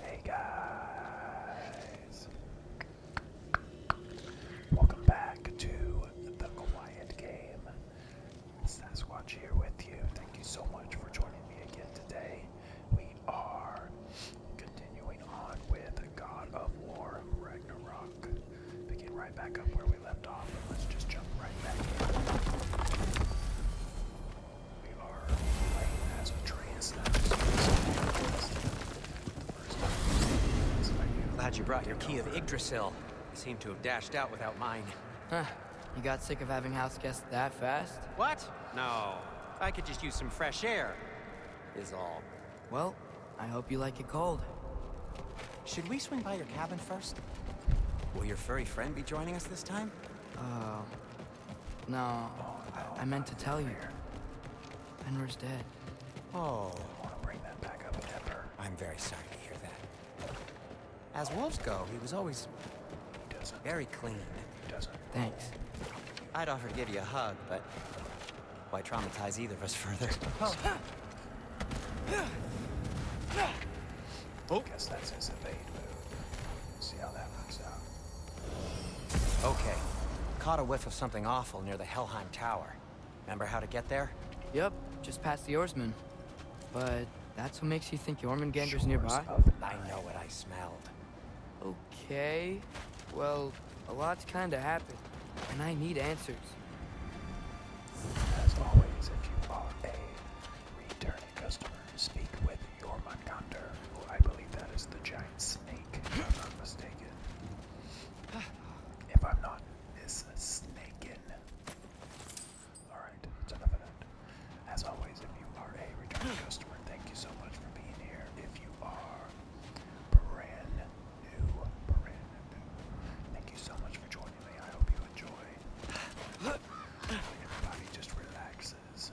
Hey guys! Welcome back to The Quiet Game. Sasquatch here with you. Thank you so much for joining me again today. We are continuing on with God of War Ragnarok. Begin right back up where we left off, and let's just jump right back in. I'm glad you brought your key of Yggdrasil. I seem to have dashed out without mine. Huh. You got sick of having house that fast? What? No. I could just use some fresh air. Is all. Well, I hope you like it cold. Should we swing by your cabin first? Will your furry friend be joining us this time? Uh, no, I, meant to tell you. Fenrir's dead. Oh. I want to bring that back up, I'm very sorry to hear that. As wolves go, he was always very clean. Thanks. I'd offer to give you a hug, but why traumatize either of us further? Oh. Guess that's his evade move. See how that works out. Okay. Caught a whiff of something awful near the Helheim Tower. Remember how to get there? Yep, just past the Oarsman. But that's what makes you think Jormungandr's Gander's nearby? I know what I smelled. Okay. Well, a lot's kinda happened, and I need answers. As always, if you are a returning customer, speak with you're Jormungandr, who I believe that is the giant snake, if I'm not mistaken. If I'm not mistaken. Alright, that's enough of that. As always, if you are a returning customer, thank you so much for being here. If you are brand new, brand new, thank you so much for joining me. I hope you enjoy. Everybody just relaxes.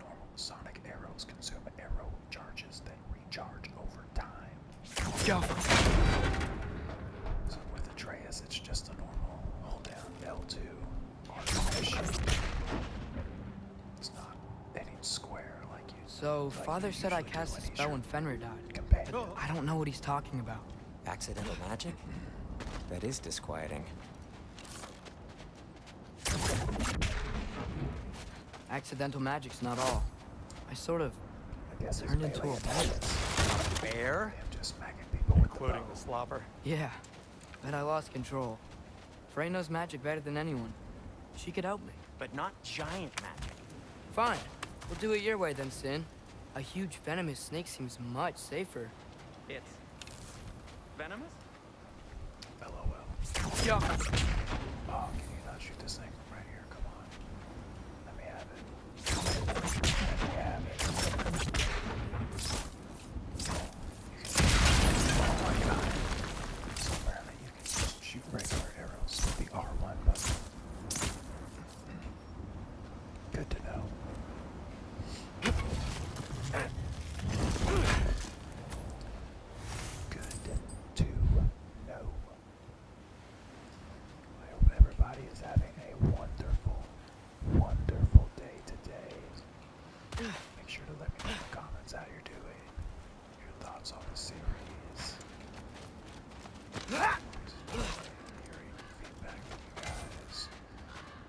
normal sonic arrows consume arrow charges that recharge over time. So Father said I cast a spell when Fenrir died. I don't know what he's talking about. Accidental magic? That is disquieting. Accidental magic's not all. I sort of I guess turned into a bear. I'm just smacking people Including the, slobber. Yeah, but I lost control. Frey knows magic better than anyone. She could help me. But not giant magic. Fine. We'll do it your way then, Sin. A huge venomous snake seems much safer. It's... venomous? LOL. Yup. Oh, can you not shoot this thing from right here? Come on. Let me have it. Let me have it. Oh my god. So apparently you can just shoot regular arrows with the R1 button. Good to know good to know. I hope everybody is having a wonderful, wonderful day today. Make sure to let me know in the comments how you're doing, your thoughts on the series.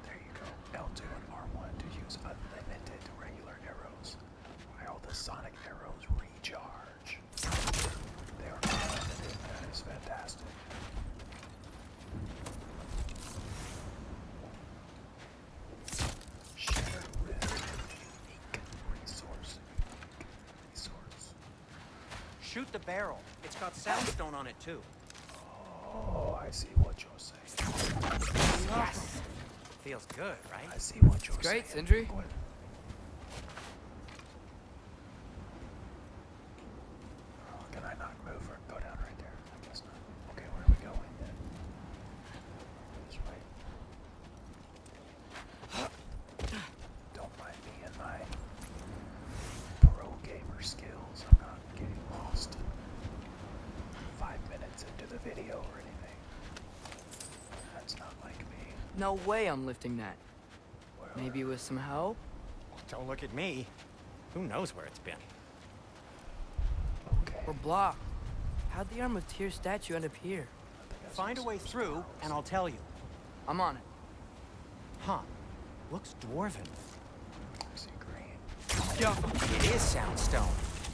Hearing you go. L2 and R1 to use unlimited regular arrows. While the sonic arrows recharge. That is fantastic. Share with unique resource. Shoot the barrel. It's got sandstone on it too. Oh, I see what you're saying. Yes. Feels good, right? I see what you're Great, Great, Sindri. Oh, can I not move or go down right there? Okay, where are we going then? Don't mind me and my pro gamer skills. I'm not getting lost five minutes into the video or anything. No way I'm lifting that. Maybe with some help? Don't look at me. Who knows where it's been? We're blocked. How'd the Arm of Tears statue end up here? Find a way through, and I'll tell you. I'm on it. Huh. Looks dwarven. Is it green? it is soundstone,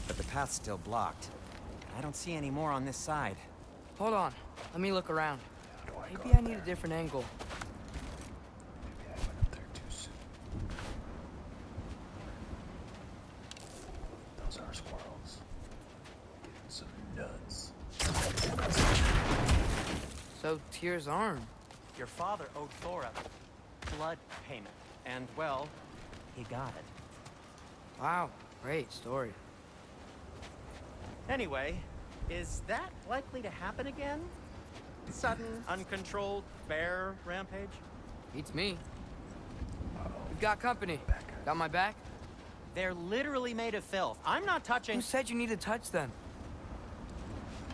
but the path's still blocked. I don't see any more on this side. Hold on. Let me look around. Maybe I need a different angle. Maybe I Those are squirrels. Getting some nuts. So Tyr's arm. Your father owed Thor Thora blood payment. And, well, he got it. Wow, great story. Anyway, is that likely to happen again? Sudden, uncontrolled bear rampage? Beats me. we got company. Got my back? They're literally made of filth. I'm not touching- Who said you need to touch then?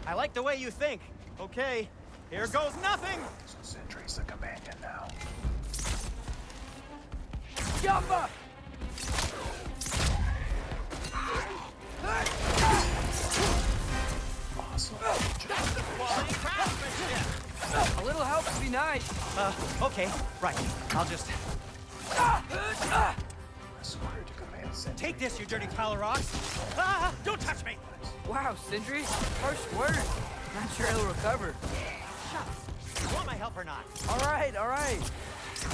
I like the way you think. Okay, here goes nothing! Sentry's the companion now. Jumper! A little help would be nice. Uh, okay, right. I'll just... Ah! Take this, you dirty pile of rocks! don't touch me! Wow, Sindri, harsh word. Not sure he'll recover. Shucks. You want my help or not? All right, all right. Huh!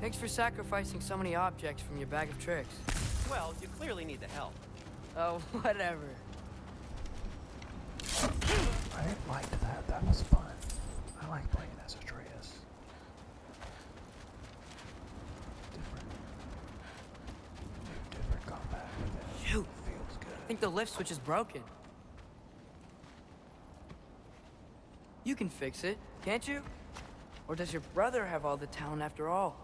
Thanks for sacrificing so many objects from your bag of tricks. Well, you clearly need the help. Oh, whatever. I liked that. That was fun. I like playing as Atreus. Different. Different combat Shoot. Feels good. I think the lift switch is broken. You can fix it, can't you? Or does your brother have all the talent after all?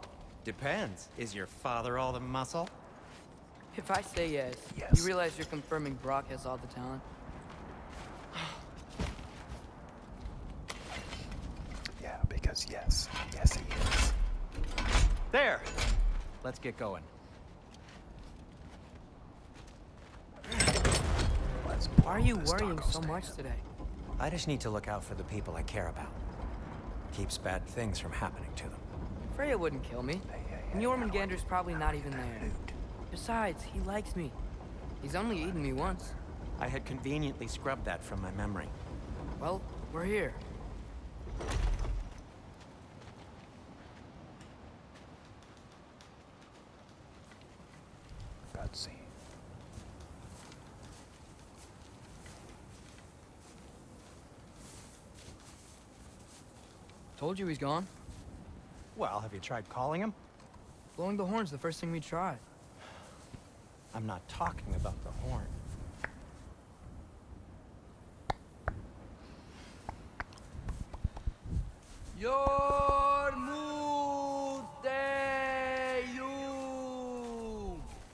Depends. Is your father all the muscle? If I say yes, yes. you realize you're confirming Brock has all the talent? yeah, because yes. Yes, he is. There! Let's get going. Why are you worrying so much today? I just need to look out for the people I care about. Keeps bad things from happening to them. Freya wouldn't kill me. And Jormungandr's probably not even there. Besides, he likes me. He's only eaten me once. I had conveniently scrubbed that from my memory. Well, we're here. Gutsy. Told you he's gone. Well, have you tried calling him? Blowing the horn's the first thing we tried. I'm not talking about the horn. Your mute you.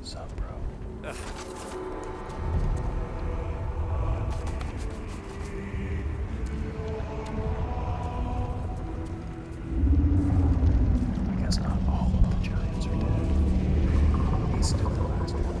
What's up, bro? I guess not all of the giants are dead. He's still alive. He's still alive.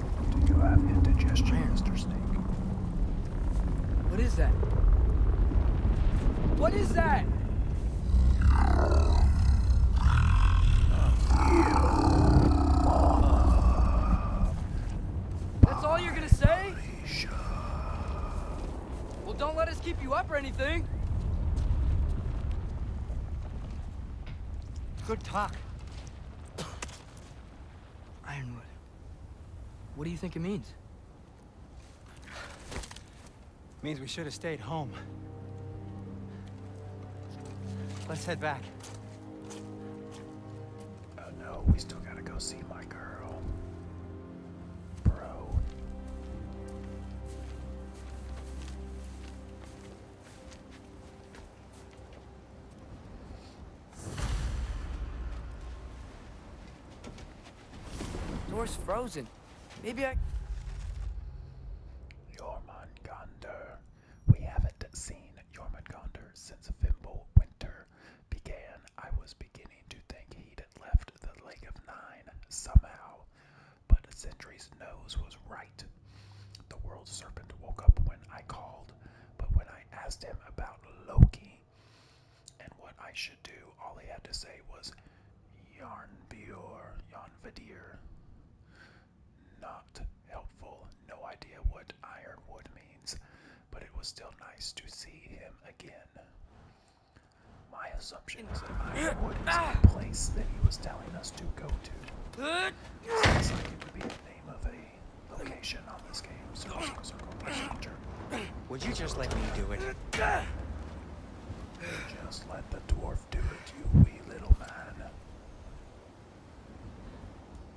Do you have indigestion, Mr. Snake? What is that? What is that? That's all you're gonna say? Well, don't let us keep you up or anything. Good talk. Ironwood. What do you think it means? means we should have stayed home. Let's head back. Oh no, we still gotta go see my girl. Bro. The Door's frozen. Maybe I... Yormangander. We haven't seen Yormangander since Fimble Winter began. I was beginning to think he'd left the Lake of Nine somehow, but a Sentry's nose was right. The world serpent woke up when I called. But when I asked him about Loki and what I should do, all he had to say was Yarnbjor, Yarnvadir. Not helpful, no idea what ironwood means, but it was still nice to see him again. My assumption is that ironwood is the place that he was telling us to go to. Sounds like it would be the name of a location on this game. Circle, circle, circle, Would you just let me do it? Just let the dwarf do it, you wee little man.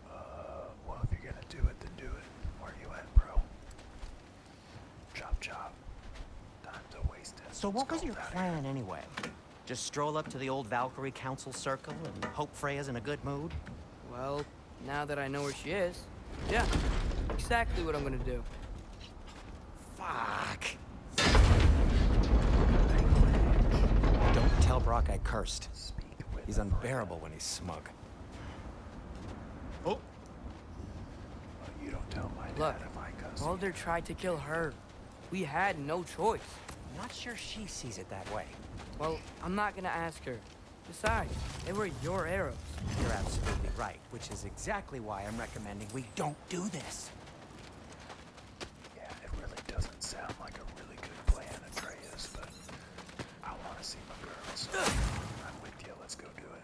Uh, well, if you're gonna do it, then do it. Where you at, bro? Job, job. Time to waste it. So, what was your plan anyway? Just stroll up to the old Valkyrie Council Circle and hope Freya's in a good mood? Well, now that I know where she is, yeah, exactly what I'm gonna do. Fuck. Don't tell Brock I cursed. He's unbearable when he's smug. Oh! You don't tell my dad Look, if I cuss. Mulder tried to kill her. We had no choice. not sure she sees it that way. Well, I'm not gonna ask her. Besides, they were your arrows. You're absolutely right, which is exactly why I'm recommending we don't do this. Yeah, it really doesn't sound like a really good plan, Atreus, but I want to see my girl, I'm with you. Let's go do it.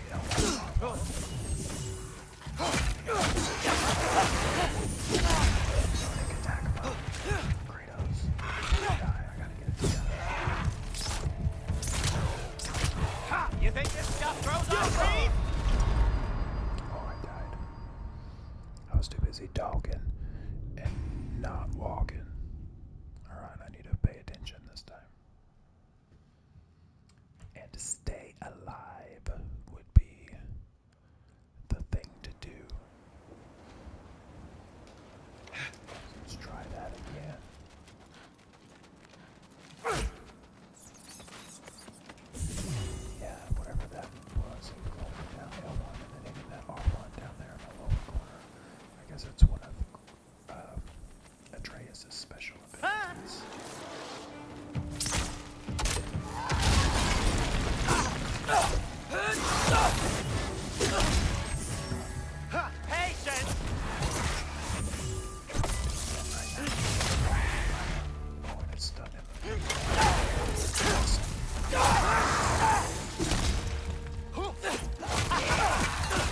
Sonic attack above Kratos. I die. I gotta get it together. Ha! You think this stuff grows on trees? Oh, I died. I was too busy talking and not walking. Alright, I need to pay attention this time. And stay alive would be the thing to do. Let's try that again. Yeah, whatever that was, L1 and then that R1 down there in the lower corner. I guess it's one of um, Atreus' special abilities. Ah! Patience! Oh, and it's done him. Awesome.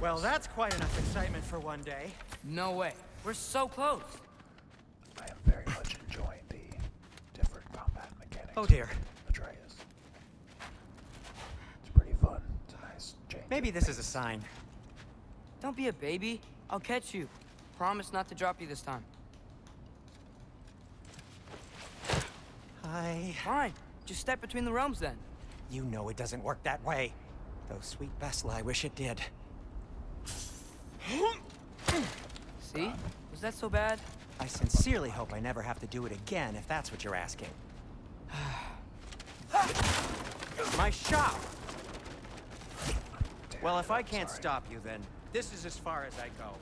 Well, that's quite enough excitement for one day. No way. We're so close. I am very much enjoying the different combat mechanics. Oh dear. Atreus. It's pretty fun. Maybe this is a sign. Don't be a baby. I'll catch you. Promise not to drop you this time. I... Fine. Just step between the realms, then. You know it doesn't work that way. Though sweet Vesla, I wish it did. See? Was that so bad? I sincerely hope I never have to do it again, if that's what you're asking. My shop! well, if I can't stop you, then this is as far as I go.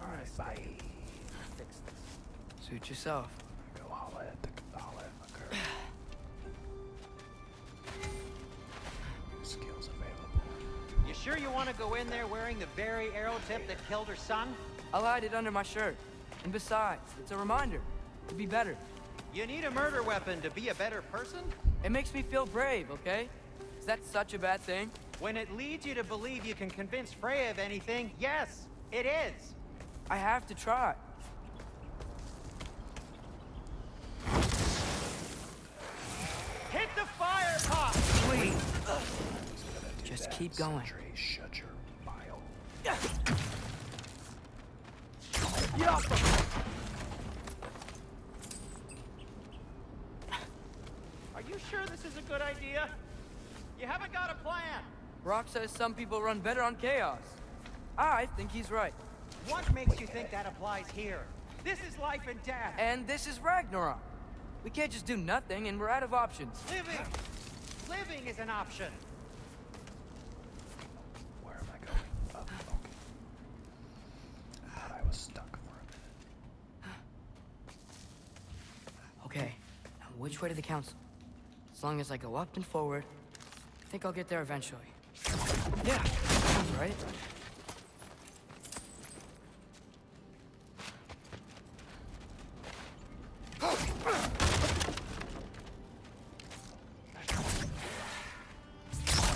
All right, bye. Suit yourself. You sure you want to go in there wearing the very arrow tip that killed her son? I'll hide it under my shirt. And besides, it's a reminder to be better. You need a murder weapon to be a better person? It makes me feel brave, okay? Is that such a bad thing? When it leads you to believe you can convince Freya of anything, yes, it is. I have to try. Hit the fire pot! Please. Just keep going. Shut your mile. Are you sure this is a good idea? You haven't got a plan. Brock says some people run better on chaos. Ah, I think he's right. What makes you think that applies here? This is life and death. And this is Ragnarok. We can't just do nothing and we're out of options. Living! Living is an option. Where am I going? Oh, I was stuck for a minute. Okay, now which way to the council? As long as I go up and forward, I think I'll get there eventually. Yeah, sounds right.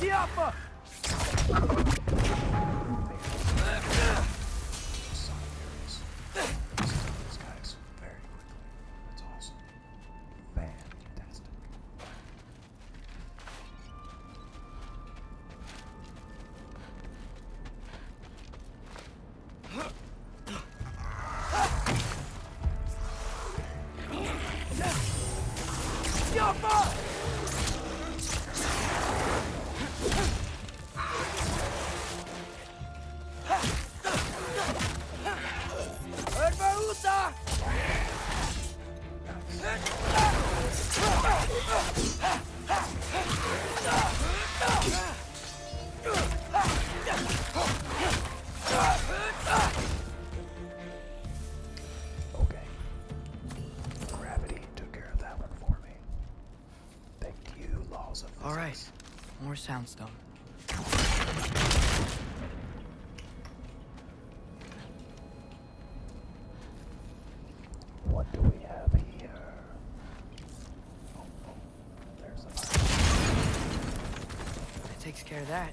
Siapa? this. This is all these guys very quickly. That's awesome. Fantastic. Okay. Gravity took care of that one for me. All right, more soundstone. What do we have here? That takes care of that.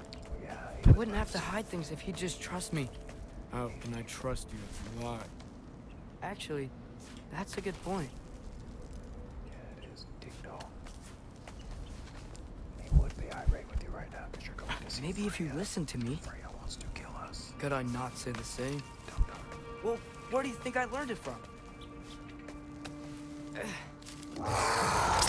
I wouldn't have to hide things if he just trust me. Oh, and I trust you if you lie? Actually, that's a good point. Yeah, it is He would be irate with you right now because you're going to ah, Maybe if you listen to me. Freya wants to kill us. Could I not say the same? Don't Well, where do you think I learned it from?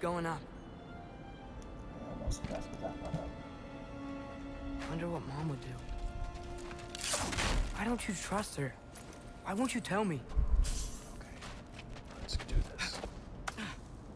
going up. Almost messed that one up. Wonder what Mom would do. Why don't you trust her? Why won't you tell me? Okay, let's do this.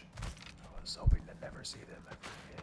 much. I was hoping to never see them ever again.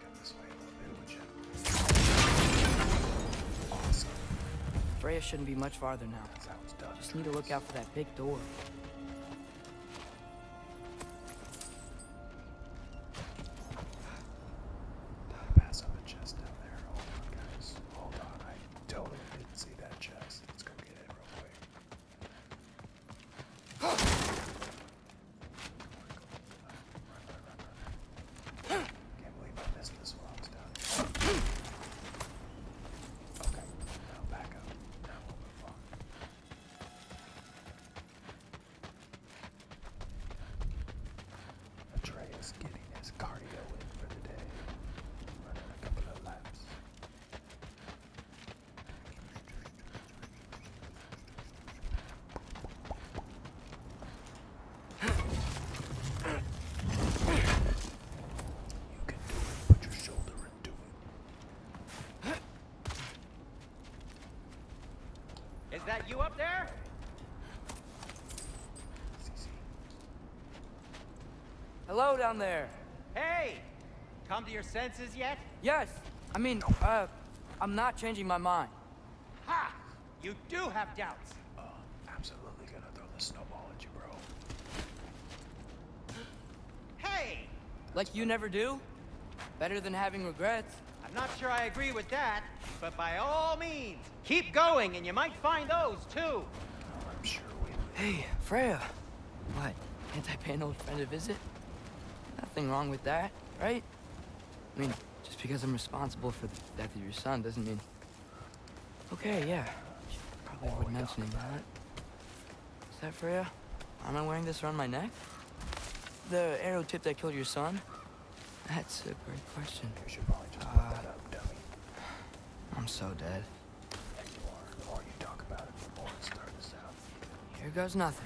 Freya shouldn't be much farther now. Just need to look out for that big door. Pass up a chest down there. Hold on, guys. Hold on. I totally didn't see that chest. Let's go get it real quick. Can't believe I missed this while I was down Okay, now back up. Now we'll move Atreus getting his cardio in for the day. Running a couple of laps. Is that you up there? Hello down there. Hey! Come to your senses yet? Yes. I mean, uh, I'm not changing my mind. Ha! You do have doubts. Uh, absolutely gonna throw the snowball at you, bro. Hey! Like you never do? Better than having regrets. I'm not sure I agree with that, but by all means, keep going and you might find those too. Hey, Freya. What? Can't I pay an old friend a visit? Nothing wrong with that, right? I mean, just because I'm responsible for the death of your son doesn't mean... Okay, yeah. Probably worth mentioning that. Is that Freya? Am I wearing this around my neck? The arrow tip that killed your son? That's a great question. Uh, I'm so dead. Here goes nothing.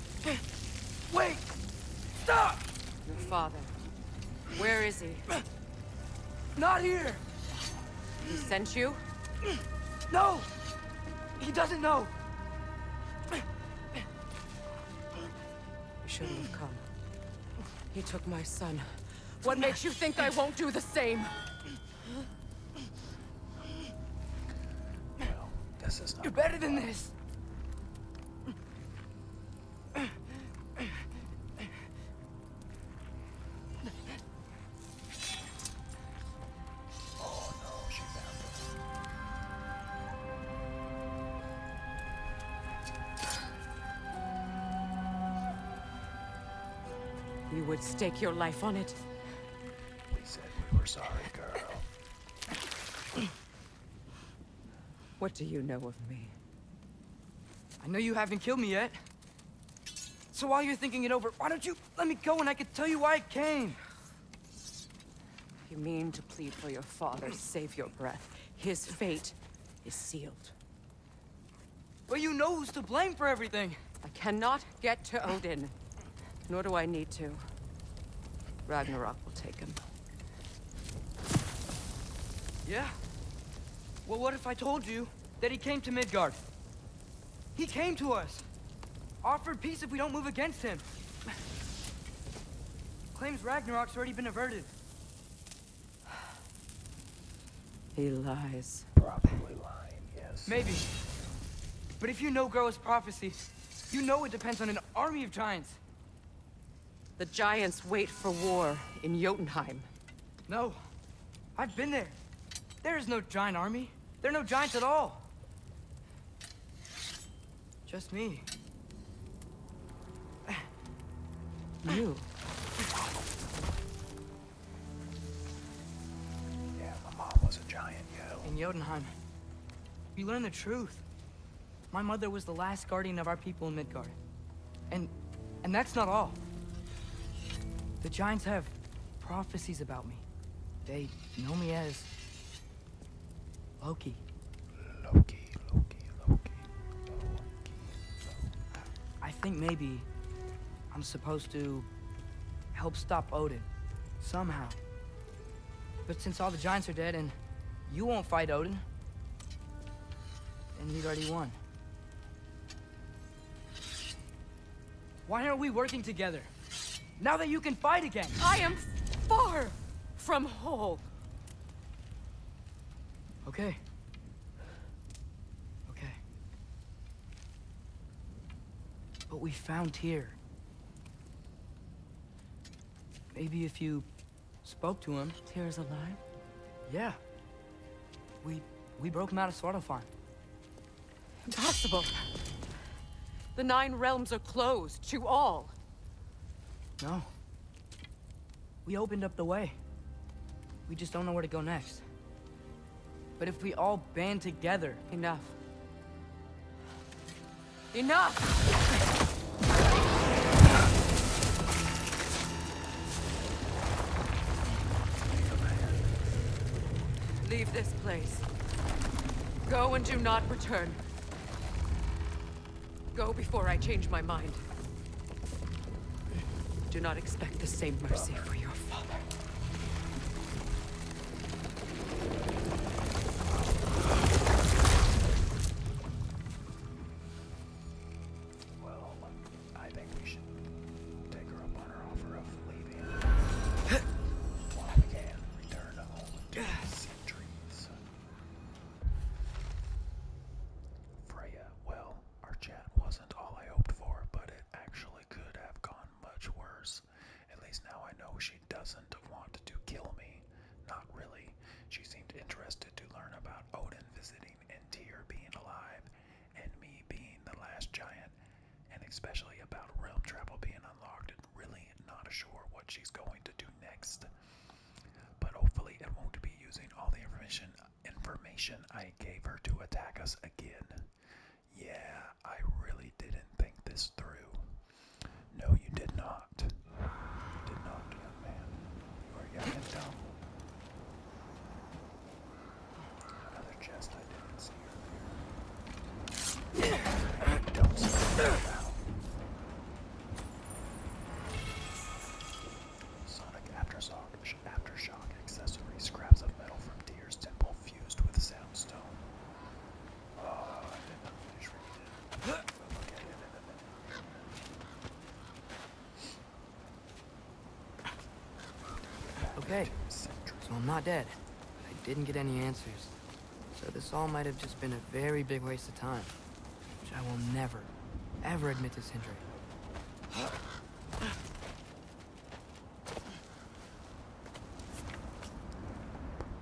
Wait! Stop! Your father. Where is he? Not here! He sent you? No! He doesn't know! You shouldn't have come. He took my son. What makes you think I won't do the same? You're better than this! You would stake your life on it? We said we were sorry, girl. What do you know of me? I know you haven't killed me yet. So while you're thinking it over, why don't you let me go and I can tell you why I came? You mean to plead for your father, save your breath. His fate is sealed. But you know who's to blame for everything. I cannot get to Odin, nor do I need to. Ragnarok will take him. Yeah? Well, what if I told you that he came to Midgard? He came to us. Offered peace if we don't move against him. Claims Ragnarok's already been averted. He lies. Probably lying, yes. Maybe. But if you know Groa's prophecy, you know it depends on an army of giants. The Giants wait for war in Jotunheim. No. I've been there. There is no giant army. There are no giants at all. Just me. You. Yeah, my mom was a giant, yo. In Jotunheim, you learn the truth. My mother was the last guardian of our people in Midgard. And... and that's not all. The Giants have prophecies about me. They know me as... Loki. Loki, Loki, Loki, Loki, I think maybe I'm supposed to help stop Odin. Somehow. But since all the giants are dead and you won't fight Odin, and he's already won. Why aren't we working together? Now that you can fight again! I am far from whole. Okay. Okay. What we found here Maybe if you spoke to him. Tira's alive? Yeah. We we broke him out of Swarto Impossible. The Nine Realms are closed to all. No. We opened up the way. We just don't know where to go next. But if we all band together... Enough. Enough! Leave this place. Go and do not return. Go before I change my mind. Do not expect the same mercy for your father. Well, I think we should take her up on her offer of leaving. While we return to the centuries. Freya, well, our chat wasn't all I hoped for, but it actually could have gone much worse. At least now I know she she doesn't want to kill me. Not really. She seemed interested to learn about Odin visiting and Tyr being alive, and me being the last giant, and especially about realm travel being unlocked, and really not sure what she's going to do next. But hopefully, it won't be using all the information information I gave her to attack us again. Yeah, I really didn't think this through. No, you did not. Another chest I didn't see earlier. Don't slow down. Sonic Aftershock, Aftershock accessory, scraps of metal from Deer's Temple fused with soundstone. Okay, so I'm not dead. I didn't get any answers. So this all might have just been a very big waste of time. Which I will never, ever admit to Sindri.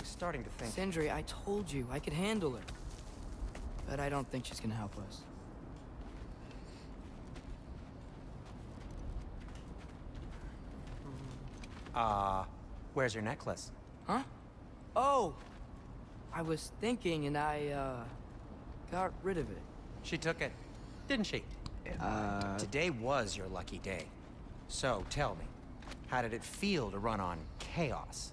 I starting to think... Sindri, I told you, I could handle her. But I don't think she's gonna help us. Uh, where's your necklace? Huh? Oh! I was thinking and I, uh, got rid of it. She took it, didn't she? Uh, Today was your lucky day. So, tell me, how did it feel to run on chaos?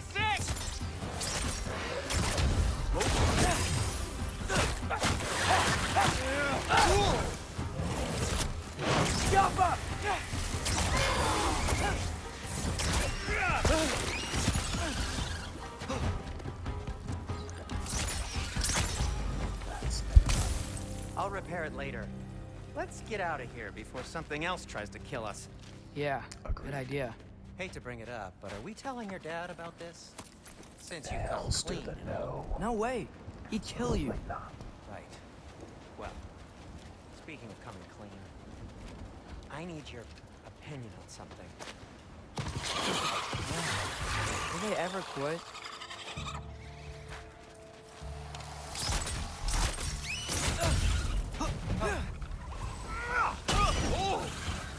I'll repair it later. Let's get out of here before something else tries to kill us. Yeah, Agreed. good idea. Hate to bring it up, but are we telling your dad about this? Since you come clean. no. No way. He'd kill you. Right. Well, speaking of coming clean, I need your opinion on something. Yeah. Will they ever quit?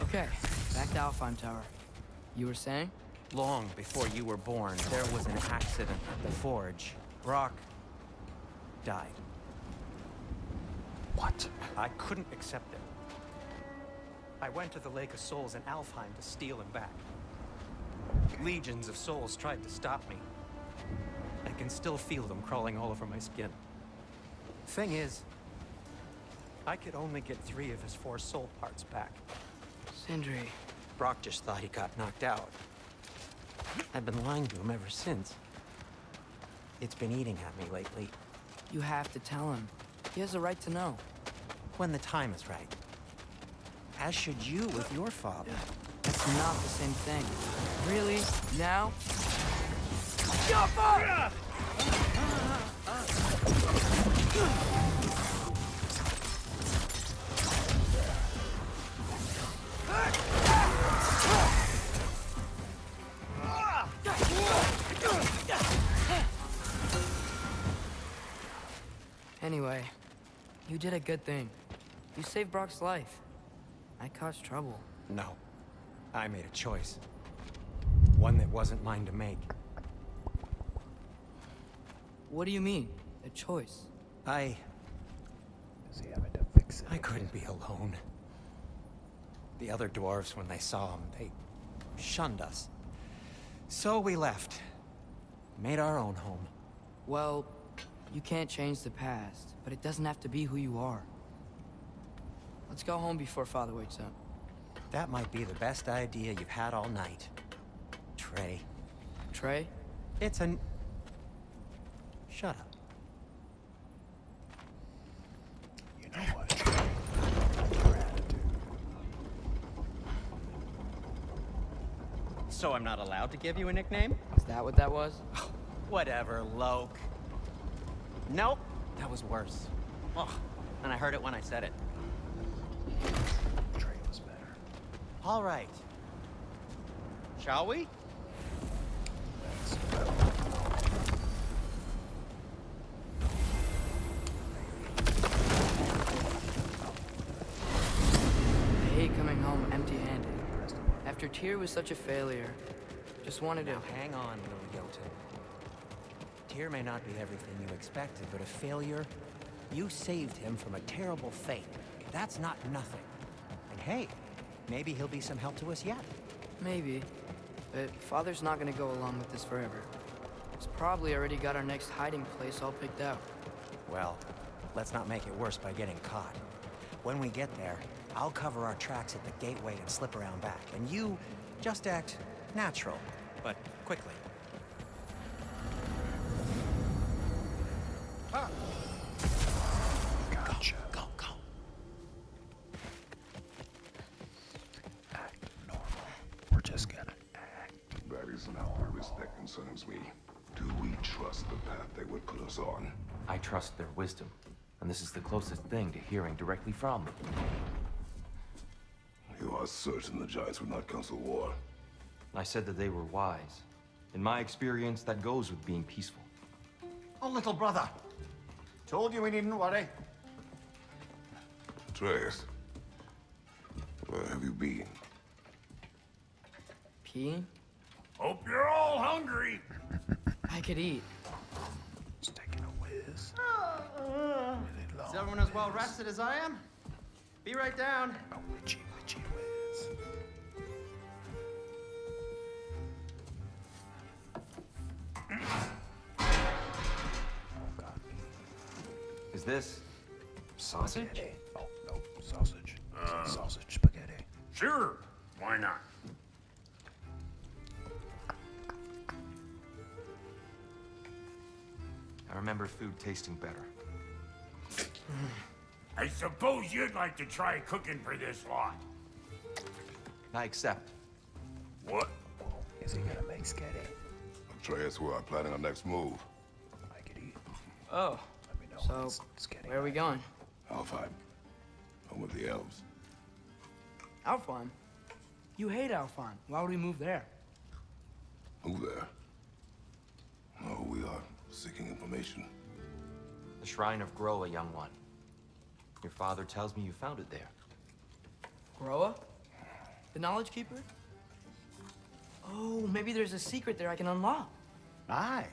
Okay, back to Alfheim Tower. You were saying? Long before you were born, there was an accident the forge. Brock died. What? I couldn't accept it. I went to the Lake of Souls in Alfheim to steal him back. Legions of souls tried to stop me. I can still feel them crawling all over my skin. Thing is, I could only get three of his four soul parts back. Sindri. Brock just thought he got knocked out. I've been lying to him ever since. It's been eating at me lately. You have to tell him. He has a right to know. When the time is right. As should you with your father. That's not the same thing. Really? Now? Jumper! Ah! Anyway, you did a good thing. You saved Brock's life. I caused trouble. No. I made a choice. One that wasn't mine to make. What do you mean? A choice? I... I couldn't be alone. The other dwarves, when they saw him, they shunned us. So we left. Made our own home. Well, you can't change the past, but it doesn't have to be who you are. Let's go home before Father wakes up. That might be the best idea you've had all night. Trey. Trey? It's an... Shut up. So I'm not allowed to give you a nickname? Is that what that was? whatever, Loke. Nope, that was worse. Oh, and I heard it when I said it. Trey was better. All right. Shall we? I hate coming home empty-handed. After Tyr was such a failure, just wanted to... hang on, little Jotun. Tyr may not be everything you expected, but a failure? You saved him from a terrible fate. That's not nothing. And hey, maybe he'll be some help to us yet. Maybe. But Father's not gonna go along with this forever. He's probably already got our next hiding place all picked out. Well, let's not make it worse by getting caught. When we get there, I'll cover our tracks at the gateway and slip around back. And you just act natural, but quickly. Gotcha. go, go. We're just gonna act. That is an hardest that concerns me. Do we trust the path they would put us on? I trust their wisdom, and this is the closest thing to hearing directly from them. You are certain the Giants would not counsel war? I said that they were wise. In my experience, that goes with being peaceful. Oh, little brother. Told you we needn't worry. Travis, where have you been? Peeing? Hope you're all hungry. I could eat. Just taking a whiz. Is everyone as well rested as I am? Be right down. A witchy, whiz. Oh, God. Is this sausage? Oh, no, sausage. Uh. sausage spaghetti. Sure, why not? I remember food tasting better. I suppose you'd like to try cooking for this lot. I accept. What? Is he gonna make Sketty? I'm sure that's where I'm planning our next move. Make it eat. Oh. Let me know so, where are we going? Alfheim. Home of the elves. Alfheim? You hate Alfheim. Why would we move there? Move there? No, we are seeking information. The Shrine of Groa, young one. Your father tells me you found it there here? The Knowledge Keeper? Oh, maybe there's a secret there I can unlock. I,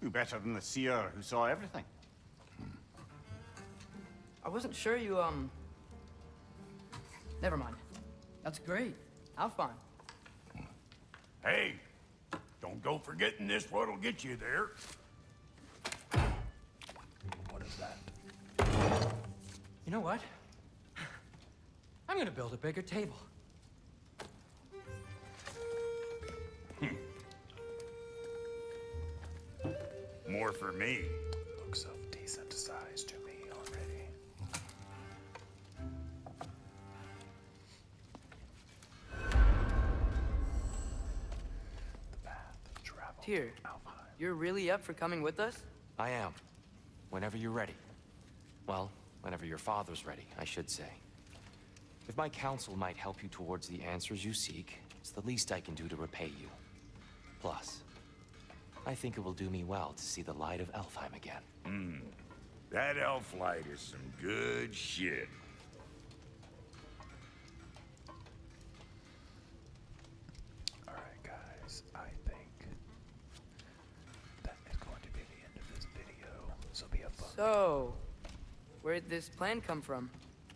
Who better than the seer who saw everything? I wasn't sure you, um... Never mind. That's great. How fun. Hey, don't go forgetting this what will get you there. What is that? You know what? I'm gonna build a bigger table. Hmm. More for me. Looks you're really up for coming with us? I am. Whenever you're ready. Well, whenever your father's ready, I should say. If my counsel might help you towards the answers you seek, it's the least I can do to repay you. Plus, I think it will do me well to see the light of Elfheim again. Hmm. That elf light is some good shit. Alright, guys, I think that is going to be the end of this video. So where did this plan come from?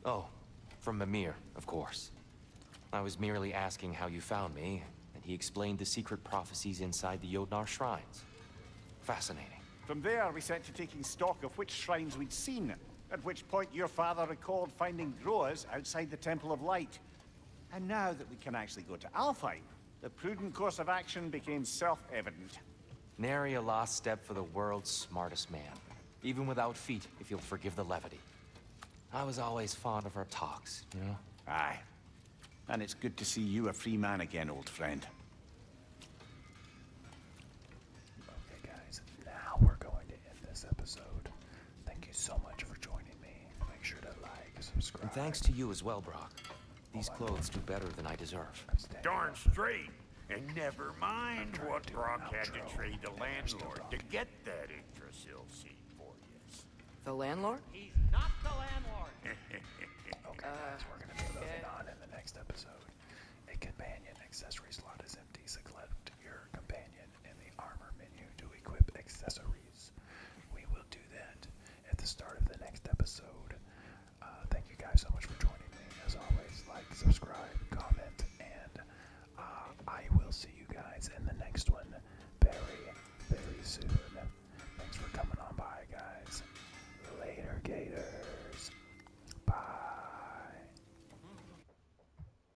Oh, from Mimir, of course. I was merely asking how you found me, and he explained the secret prophecies inside the Yodnar shrines. Fascinating. From there, we set to taking stock of which shrines we'd seen, at which point your father recalled finding growers outside the Temple of Light. And now that we can actually go to Alfheim, the prudent course of action became self-evident. Nary a lost step for the world's smartest man. Even without feet, if you'll forgive the levity. I was always fond of our talks, you know? Aye. And it's good to see you a free man again, old friend. Okay, guys. Now we're going to end this episode. Thank you so much for joining me. Make sure to like, subscribe. And thanks to you as well, Brock. These clothes do better than I deserve. Darn straight. And never mind what Brock had to trade the landlord to get that Yggdrasil seat for you. The landlord? He's not the landlord. okay, uh, guys, we're going to be moving on in the next episode. A companion accessory slot is empty, Select your companion in the armor menu to equip accessories. We will do that at the start of the next episode. Uh, thank you guys so much for joining me. As always, like, subscribe, comment, and uh, I will see you guys in the next one very, very soon. Thanks for coming on by, guys. Later, Gators. Bye.